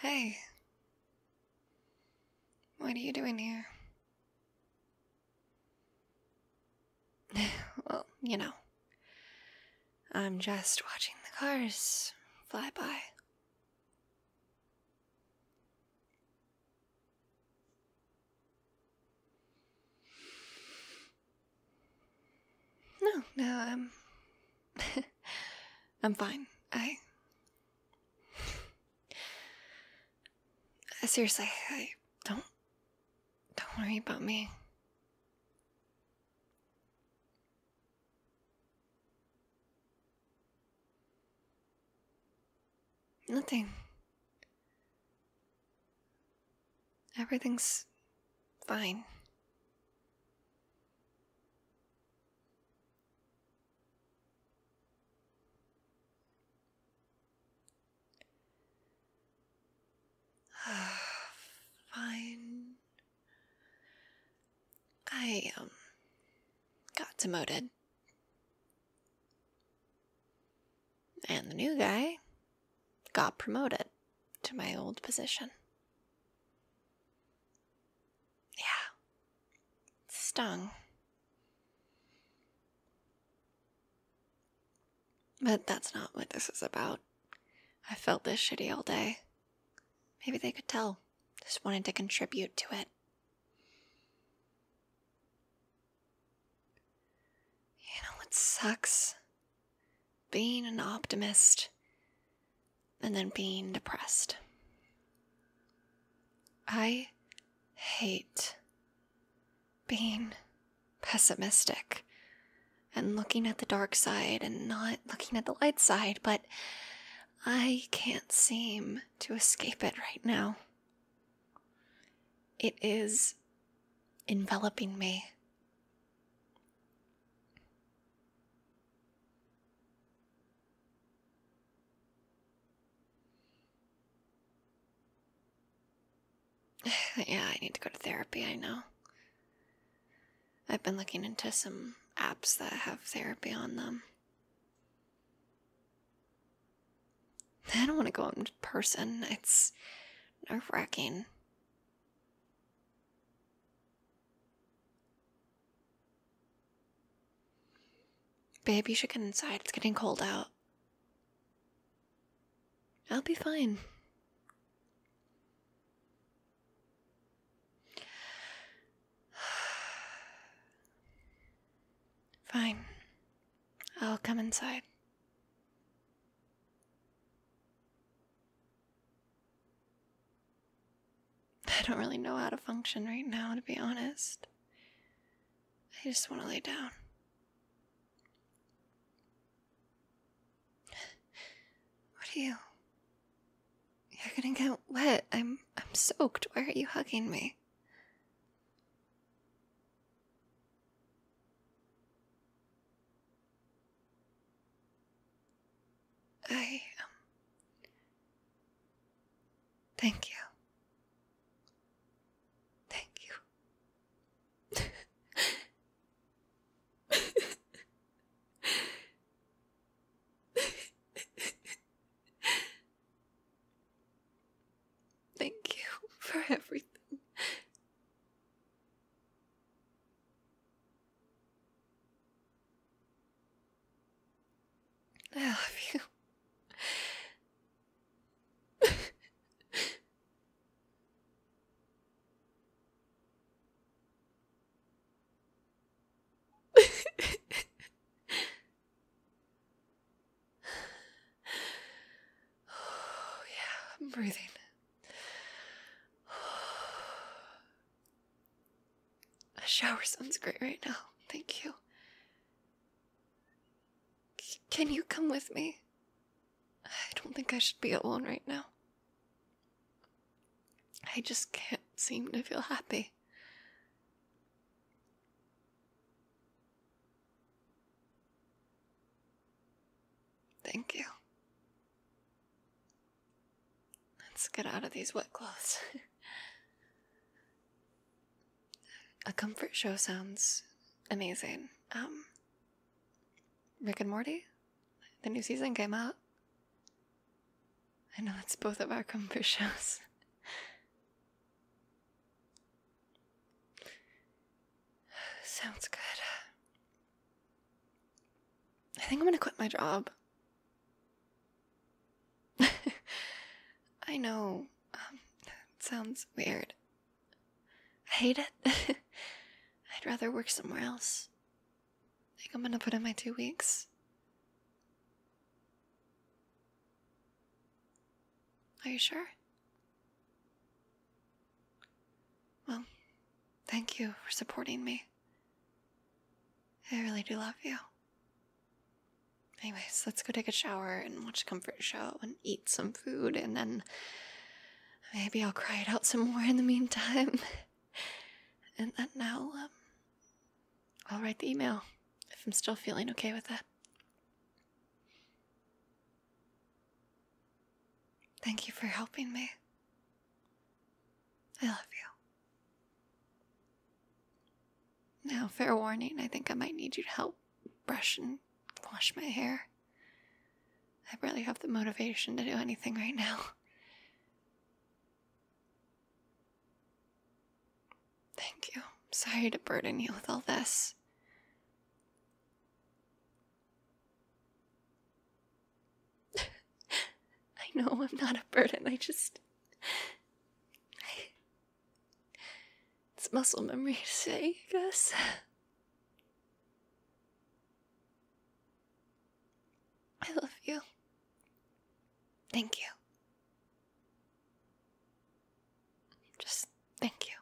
Hey. What are you doing here? well, you know. I'm just watching the cars fly by. No, no, I'm. I'm fine. I. Seriously, I don't. Don't worry about me. Nothing. Everything's fine. fine. I um got demoted. And the new guy got promoted to my old position. Yeah. Stung. But that's not what this is about. I felt this shitty all day. Maybe they could tell. Just wanted to contribute to it. You know what sucks? Being an optimist and then being depressed. I hate being pessimistic and looking at the dark side and not looking at the light side, but I can't seem to escape it right now. It is enveloping me. yeah, I need to go to therapy, I know. I've been looking into some apps that have therapy on them. I don't want to go in person. It's nerve wracking. Babe, you should get inside. It's getting cold out. I'll be fine. Fine. I'll come inside. I don't really know how to function right now, to be honest. I just want to lay down. What are you? You're gonna get wet. I'm I'm soaked. Why are you hugging me? I um, Thank you. Thank you. Thank you for everything. I love you oh, yeah, I'm breathing. A shower sounds great right now. Thank you. can you come with me? I don't think I should be alone right now. I just can't seem to feel happy. Thank you. Let's get out of these wet clothes. A comfort show sounds amazing. Um, Rick and Morty? The new season came out. I know it's both of our comfort shows. Sounds good. I think I'm gonna quit my job. I know. Um, sounds weird. I hate it. I'd rather work somewhere else. I think I'm gonna put in my two weeks. Are you sure? Well, thank you for supporting me. I really do love you. Anyways, let's go take a shower and watch a comfort show and eat some food and then Maybe I'll cry it out some more in the meantime. and then now, um, I'll write the email if I'm still feeling okay with that. Thank you for helping me. I love you. Now, fair warning, I think I might need you to help brush and wash my hair. I barely have the motivation to do anything right now. Thank you. Sorry to burden you with all this. I know I'm not a burden, I just. It's muscle memory to say, I guess. I love you. Thank you. Just thank you.